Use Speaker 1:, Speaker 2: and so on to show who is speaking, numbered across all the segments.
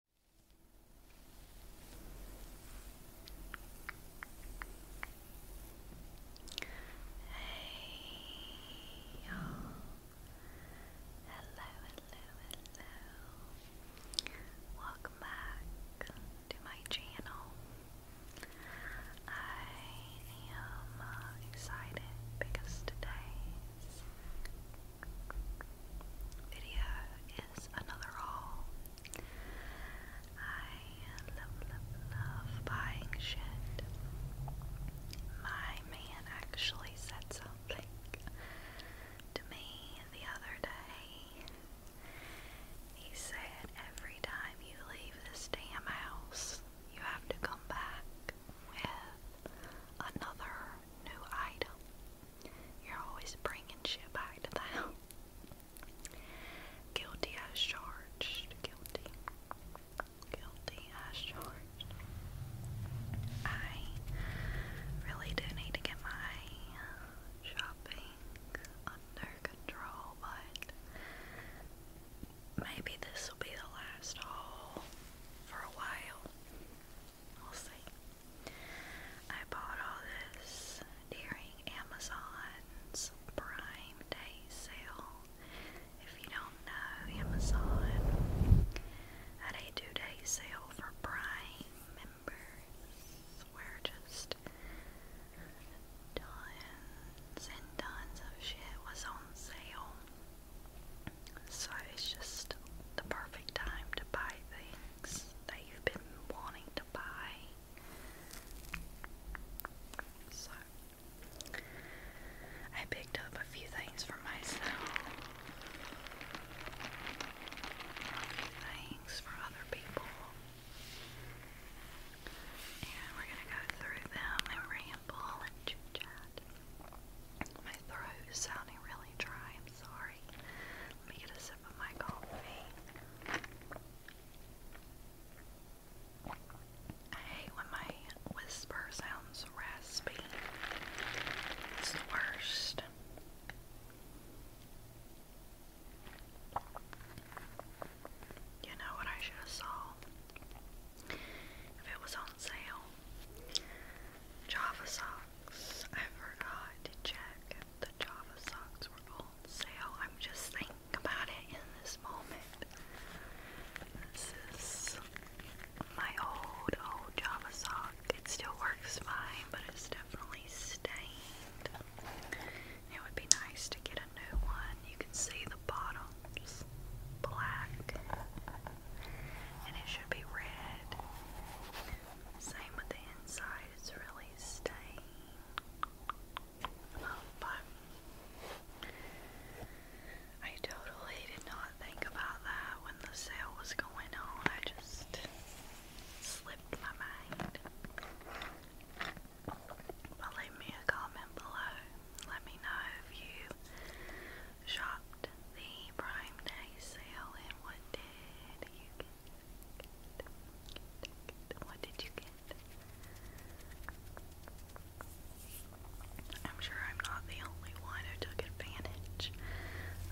Speaker 1: Hey you Hello, hello, hello. Welcome back to my channel. I am uh, excited because today's video is another haul. I love, love, love buying shit. My man actually said something to me the other day. He said, Every time you leave this damn house, you have to come back with another new item. You're always bringing shit back to them. Guilty as charged. Guilty. Guilty as charged. I really do need to get my shopping under control, but maybe this will be the last haul for a while. We'll see. I bought all this during Amazon's Prime Day sale. If you don't know, Amazon had a two day sale for Prime members where just tons and tons of shit was on sale. So it's just the perfect time to buy things that you've been wanting to buy. So, I picked up a few things for myself, a few things for other people, and we're gonna go through them and ramble and chit chat. My throat is sounding really dry, I'm sorry. Let me get a sip of my coffee. I hate when my whisper sounds raspy. It's the worst. You know what I should have saw? If it was on sale. Java socks. I forgot to check the Java socks were on sale. I'm just thinking about it in this moment. This is my old, old Java sock. It still works fine, but it's definitely stained. It would be nice to get a new one. You can see the bottom's black, and it should be red. Same with the inside, it's really stained. Oh, but I totally did not think about that when the sale was going on. I just slipped my mind. leave me a comment below. Let me know if you shopped the Prime Day sale and what did you get. What did you get? I'm sure I'm not the only one who took advantage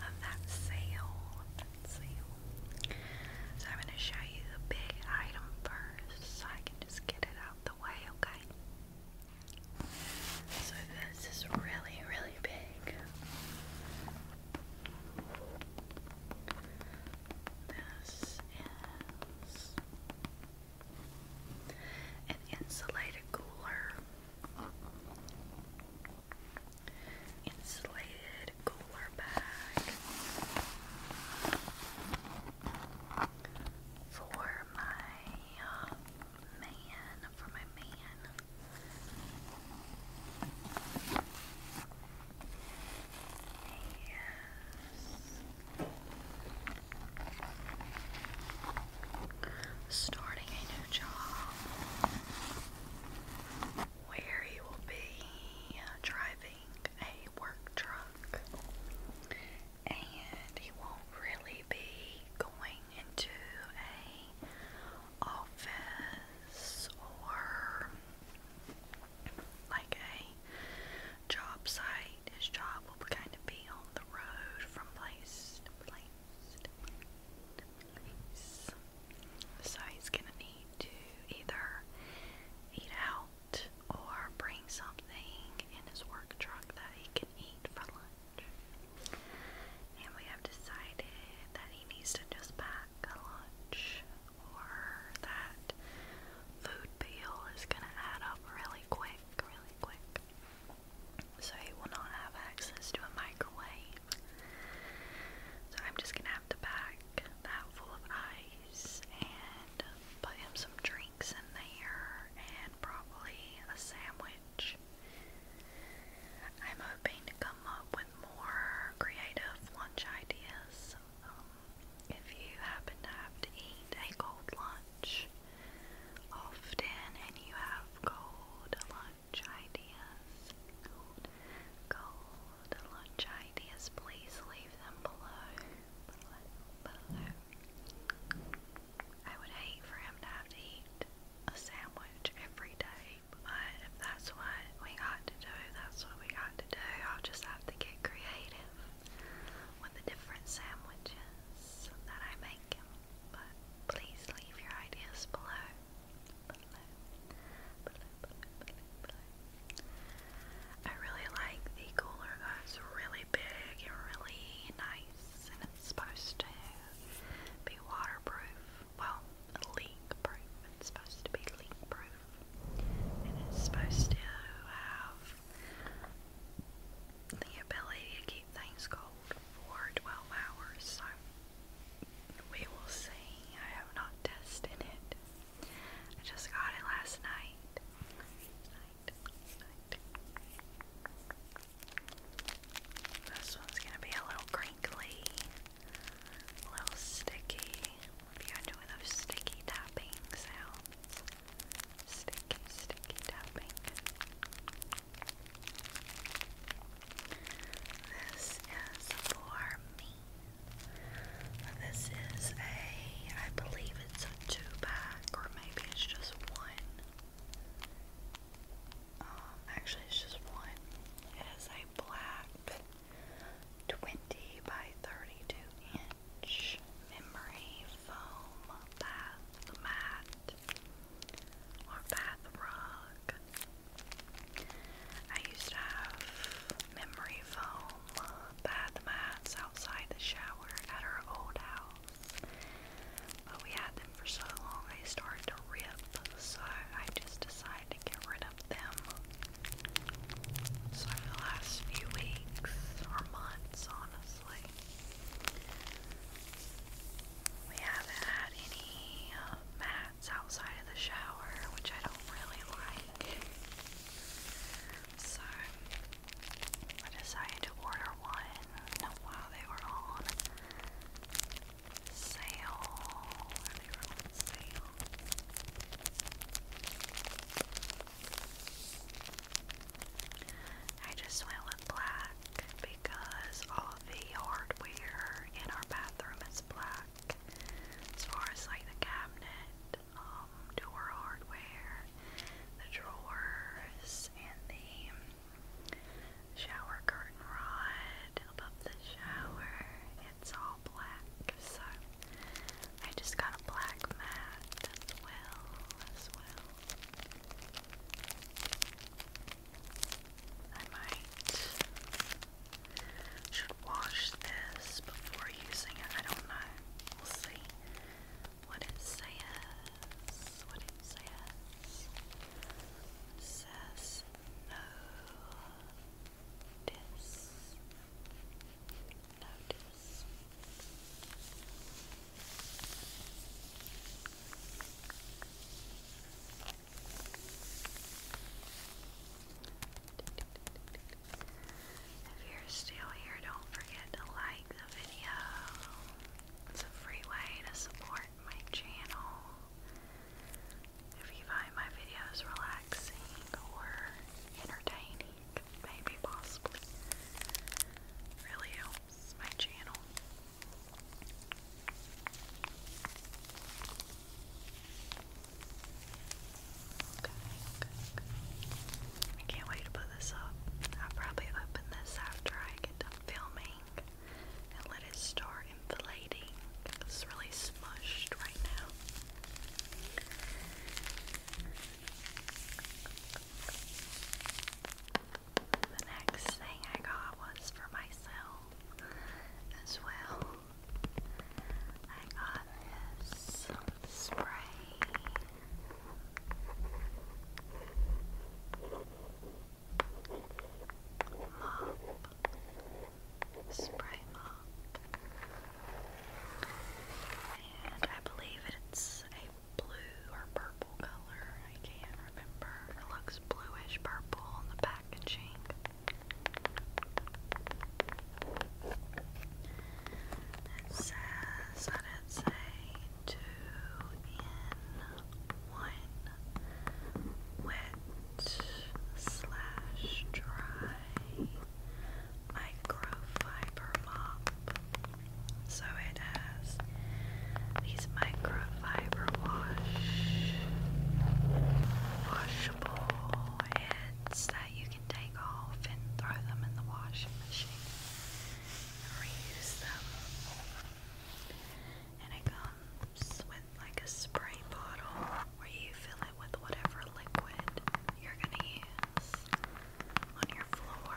Speaker 1: of that sale. So I'm going to show you the big item first so I can just get it out of the way, okay? So this is really, really big. This is an insulated cooler. Insulated cooler bag for my uh, man, for my man. Starting a new job where he will be uh, driving a work truck and he won't really be going into a office or like a job site. His job will kind of be on the road from place to place to place. So he's going to need to either eat out or bring something in his work truck that he can eat for lunch. And we have decided that he needs to just buy lunch or that food bill is going to add up really quick, really quick. So he will not have access to a microwave. So I'm just going to have the pack that full of ice and put him some drinks in there and probably a sandwich. I'm hoping to come up with more creative lunch ideas. Um, if you happen to have to eat a cold lunch often and you have cold lunch ideas, cold, lunch ideas, please leave them below. I would hate for him to have to eat a sandwich every day sleep, but if that's what we got to do, that's what we got to do. I'll just have to get creative with the different sandwiches that I make. But please leave your ideas below. Below. Below, below, below, below. I really like the cooler It's really big and really nice and it's supposed to be waterproof. Well, leak proof. It's supposed to be leak proof. it's supposed to have the ability to keep things cold for 12 hours. we will see. I have not tested it. I just got it last night. Night. This one's gonna be a little crinkly little sticky. If you're those sticky tapping sounds, sticky, sticky tapping. This is for me. This is a, I believe it's a two pack, or maybe it's just one. Um, actually, it's just one. It is a black 20 by 32 inch memory foam bath mat or bath rug. I used to have memory foam bath mats outside the shower at our old house, but we had them for so long they started to rip, so I just decided get rid of them. So, the last few weeks or months, honestly, we haven't had any uh, mats outside of the shower, which I don't really like. So, I decided to order one while they were on sale. I just went with black because all the hardware in our bathroom is black. As far as like the cabinet, um, door hardware, the drawers, and the shower curtain rod above the shower, it's all black, so I just got a black mat as well, as well. I might should wash this before using it. I don't know. We'll see what it says. What it says. says no notice, If you're still here, don't forget to like the video. It's a free way to support my channel. If you find my videos relaxing or entertaining, maybe possibly, really helps my channel. Okay, I can't wait to put this up. I'll probably open this after I get done filming and let it start inflating. It's really smushed right now. The next thing I got was for myself as well. I got this spray. Mop spray mop. And I believe it's a blue or purple color. I can't remember. It looks bluish purple on the packaging. It says, I did say two in one, which slash dry microfiber mop. So it has these microfiber wash washable heads that you can take off and throw them in the washing machine reuse them. And it comes with like a spray bottle where you fill it with whatever liquid you're going to use on your floor.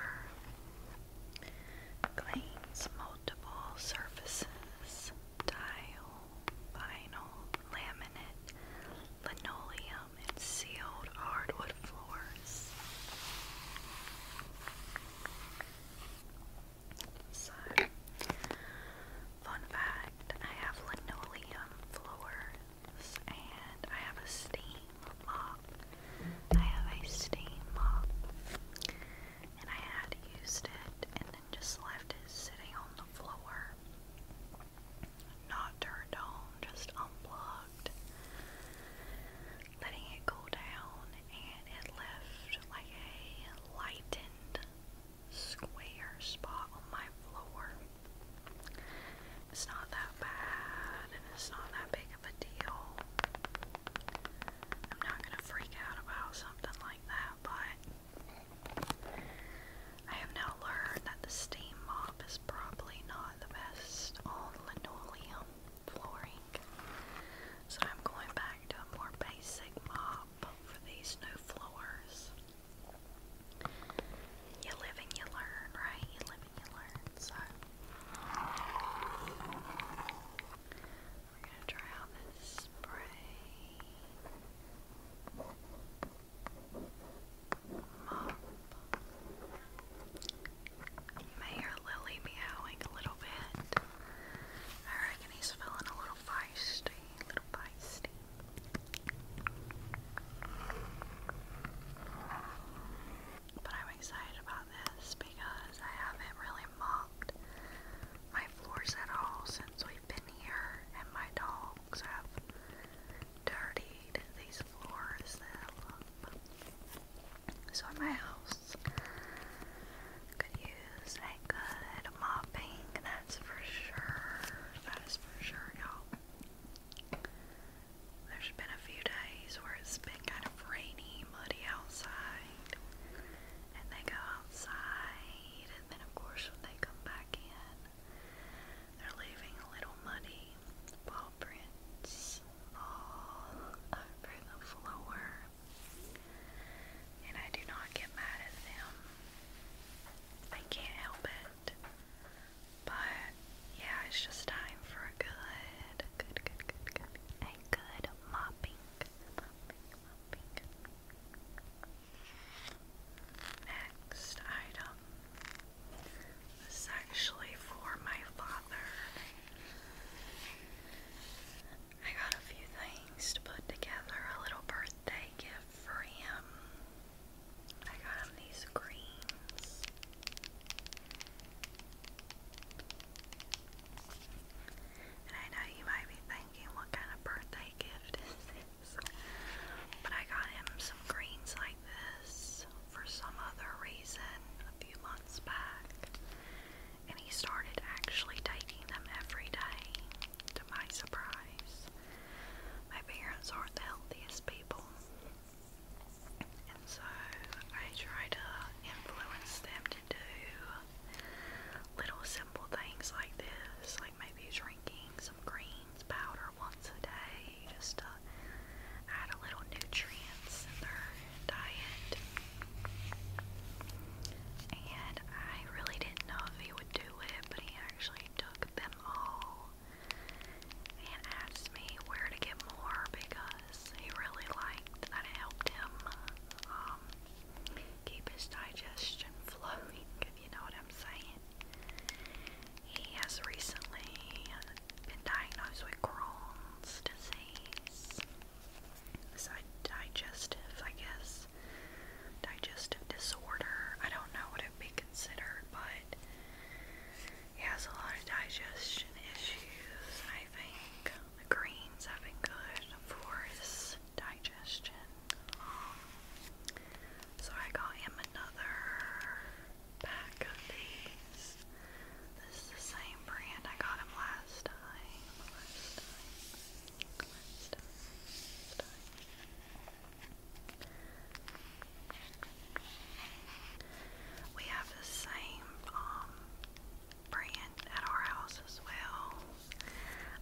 Speaker 1: Cleans multiple surfaces tile, vinyl, laminate, linoleum, and sealed hardwood floors. So, fun fact fact, I have linoleum floors and I have a steam mop. I have a steam mop. And I had used it and then just left it sitting on the floor. Not turned on, just unplugged. Letting it cool down and it left like a lightened square spot on my floor. It's not that bad and it's not that big of a deal. I'm not gonna freak out about something like that, but I have now learned that the steam mop is probably not the best on linoleum flooring. So I'm going back to a more basic mop for these new floors. You live and you learn, right? You live and you learn. So we're gonna try out this spray mop. may hear Lily meowing a little bit. I reckon he's feeling a little feisty, little feisty. But I'm excited about this because I haven't really mopped my floors at all since we've been here, and my dogs have dirtied these floors that I love. So my house could use a good mopping. That's for sure. That is for sure, y'all. There's been a few days where it's been kind of rainy, muddy outside. And they go outside, and then, of course, when they come back in, they're leaving little muddy paw prints all over the floor. And I do not get mad at them. I can't help it. But yeah, it's just time for a good, good, good, good, good, a good mopping. Next item. This is actually for my father. I got a few things to put together, a little birthday gift for him. I got him these creams. And I know you might be thinking, what kind of birthday gift But I got him some greens like this for some other reason a few months back. And he started actually taking them every day, to my surprise my parents aren't the healthiest people. And so I try to influence them to do little simple things like this, like maybe drinking some greens powder once a day just to add a little nutrients in their diet. And I really didn't know if he would do it, but he actually took them all and asked me where to get more because he really liked that it helped him um, keep his digestion flowing, if you know what I'm saying. He has recently been diagnosed with Crohn's disease. digestive, I guess. Digestive disorder. I don't know what be considered? But he has a lot of digestion issues. I think the greens have been good for his digestion. Um, so I got him another pack of these. This is the same brand I got him Last time. We have the same um, brand at our house as well.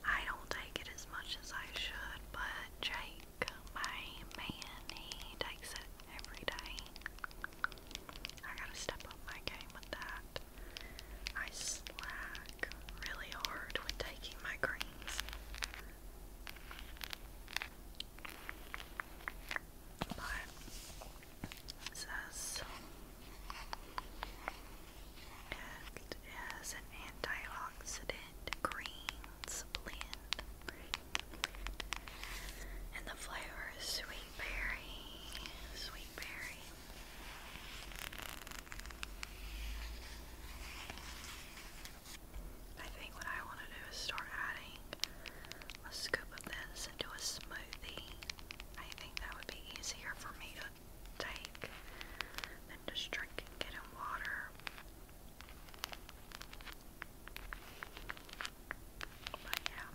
Speaker 1: I don't take it as much as I should, but Jake, my man, he takes it every day. I gotta step up my game with that. I slack really hard with taking my greens. But it says an antioxidant greens blend. And the flavor is sweet berry, sweet berry. I think what I want to do is start adding a scoop of this into a smoothie. I think that would be easier for me to take than just drinking it in water. But yeah.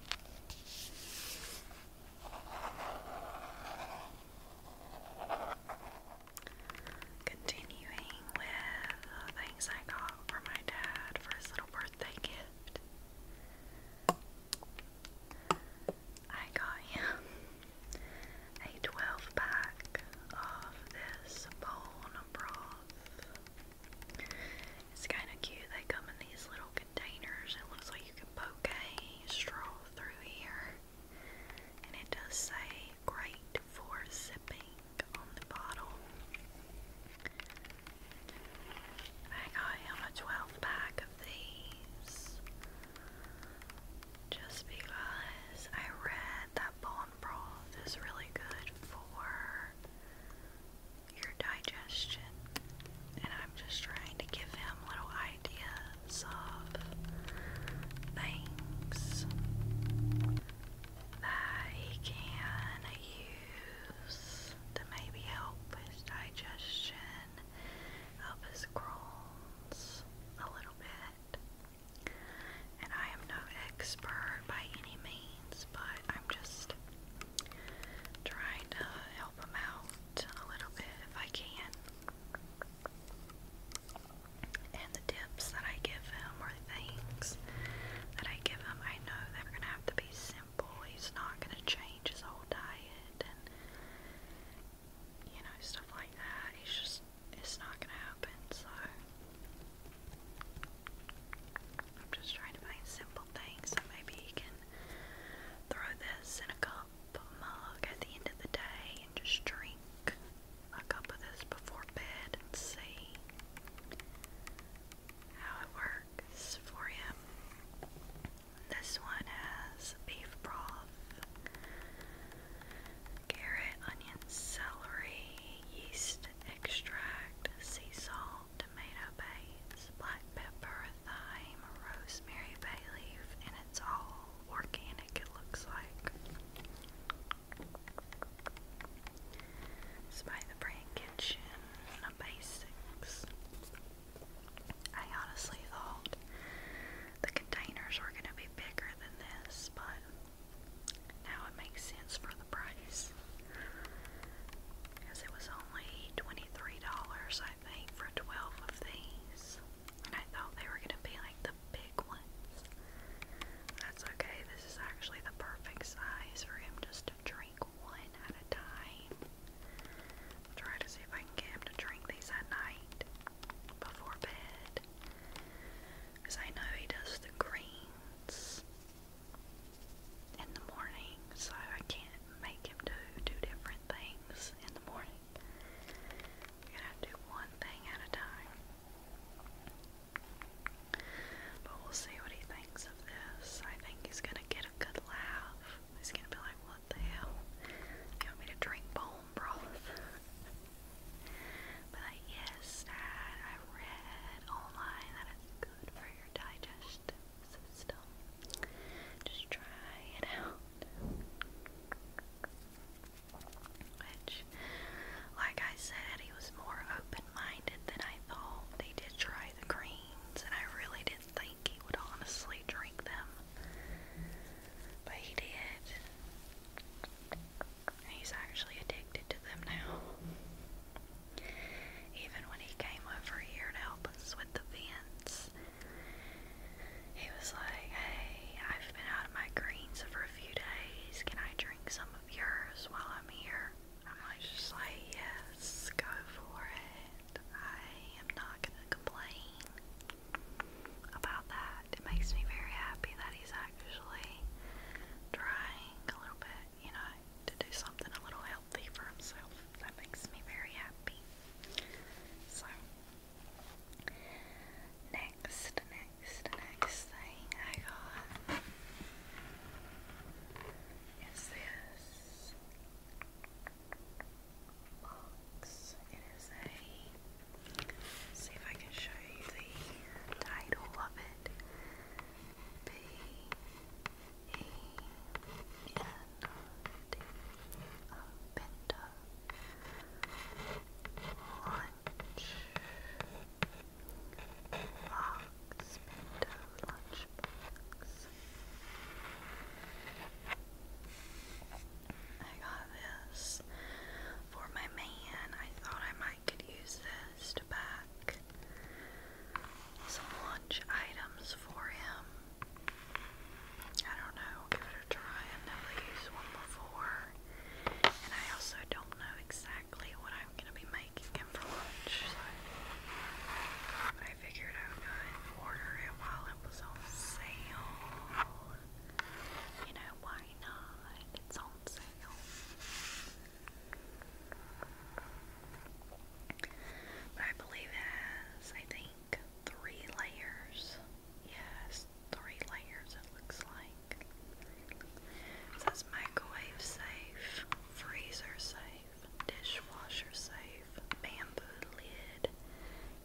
Speaker 1: Continuing with the things I got for my dad for his little birthday gift, I got him a 12 pack of this bone broth. It's kind of cute, they come in these little containers, it looks like you can poke a straw through here. And it does say great for sipping on the I got him a 12 pack of these just because I read that bone broth is really good for your digestion, and I'm just trying to give him little ideas of things that he can use to maybe help his digestion, help his Crohn's a little bit. And I am no expert by any means, but I'm just trying to help him out a little bit if I can and the tips that I give him are things that I give him, I know they're gonna have to be simple. He's not gonna change his whole diet and you know, stuff like that. It's just it's not gonna happen, so I'm just trying to find simple things that maybe he can throw this in a cup mug at the end of the day and just drink a up with this before bed and see how it works for him. This one has beef broth, carrot, onion, celery, yeast extract, sea salt, tomato paste, black pepper, thyme, rosemary bay leaf, and it's all organic, it looks like. Spy the Brain Kitchen Basics. I honestly thought the containers were going to be bigger than this, but now it makes sense for the price. Because it was only $23, I think, for 12 of these. And I thought they were going to be like the big that's okay, this is actually the perfect size for him just to drink one at a time. try to see if I can get him to drink these at night before bed. Because I know he does the greens in the morning, so I can't make him do two different things in the morning. I'm gonna do one thing at a time. But we'll see what he thinks of this. I think he's gonna get a good laugh. He's gonna be like, what the hell? You want me to drink bone broth? but like, yes, Dad, I read online that it's good for your digestive system. Just try it out like I said, he was more open minded than I thought. They did try the greens, and I really didn't think he would honestly drink them. But he did. he's actually addicted to them now. Even when he came over here to help us with the vents, he was like, Hey, I've been out of my greens for a few days. Can I drink some yours while I'm here. I'm like, just like, yes, go for it. I am not gonna complain about that. It makes me very happy that he's actually trying a little bit, you know, to do something a little healthy for himself. That makes me very happy. So, next, is the next thing I got is this box. It is a, let's see if I can show you the title of it. B E N D O Lunchbox, I got this for my man. I thought I might could use this to pack some lunch items for him. I don't know, give it a try. I've never used one before. And I also don't know exactly what I'm going to be making. I figured I would go and order it while it was on sale. You know, why not? It's on sale. I believe it has, I think, three layers. Yes, three layers it looks like. It says microwave safe, freezer safe, dishwasher safe, bamboo lid,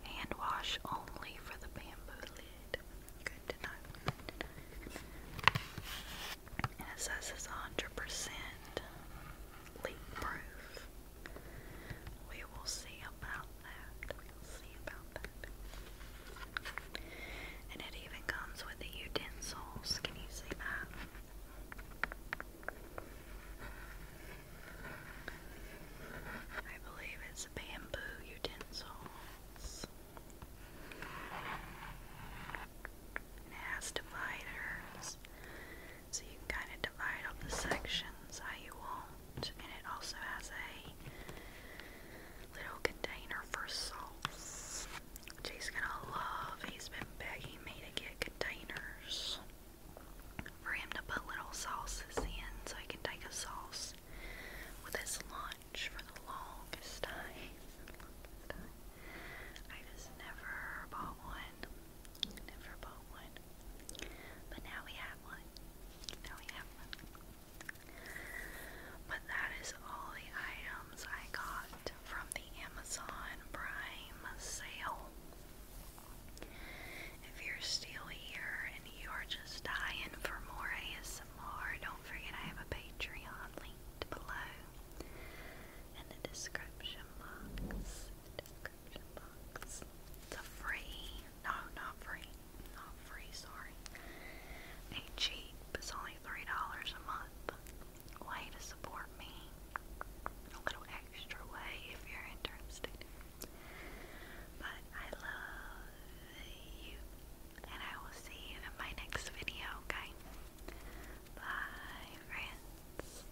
Speaker 1: hand wash only for the bamboo lid. Good to know. And it says it's 100% leak proof. We will see about that. We'll see about that. And it even comes with the utensils. Can you see that? I believe it's bamboo utensils. it has dividers. So you can kind of divide up the sections how you want. And it also has a little container for sauce. Jay's gonna love, he's been begging me to get containers for him to put little sauces in so I can take a sauce with his lunch for the longest time. I just never bought one. Never bought one. But now we have one. Now we have one. But that is all the items I got from the Amazon Prime sale. If you're still here and you are just dying for more ASMR, don't forget I have a Patreon linked below in the description box. It's a free, no, not free, not free, sorry. A cheap, $3 a month way to support me. A little extra way if you're interested. But I love you, and I will see you in my next video, okay? Bye, friends.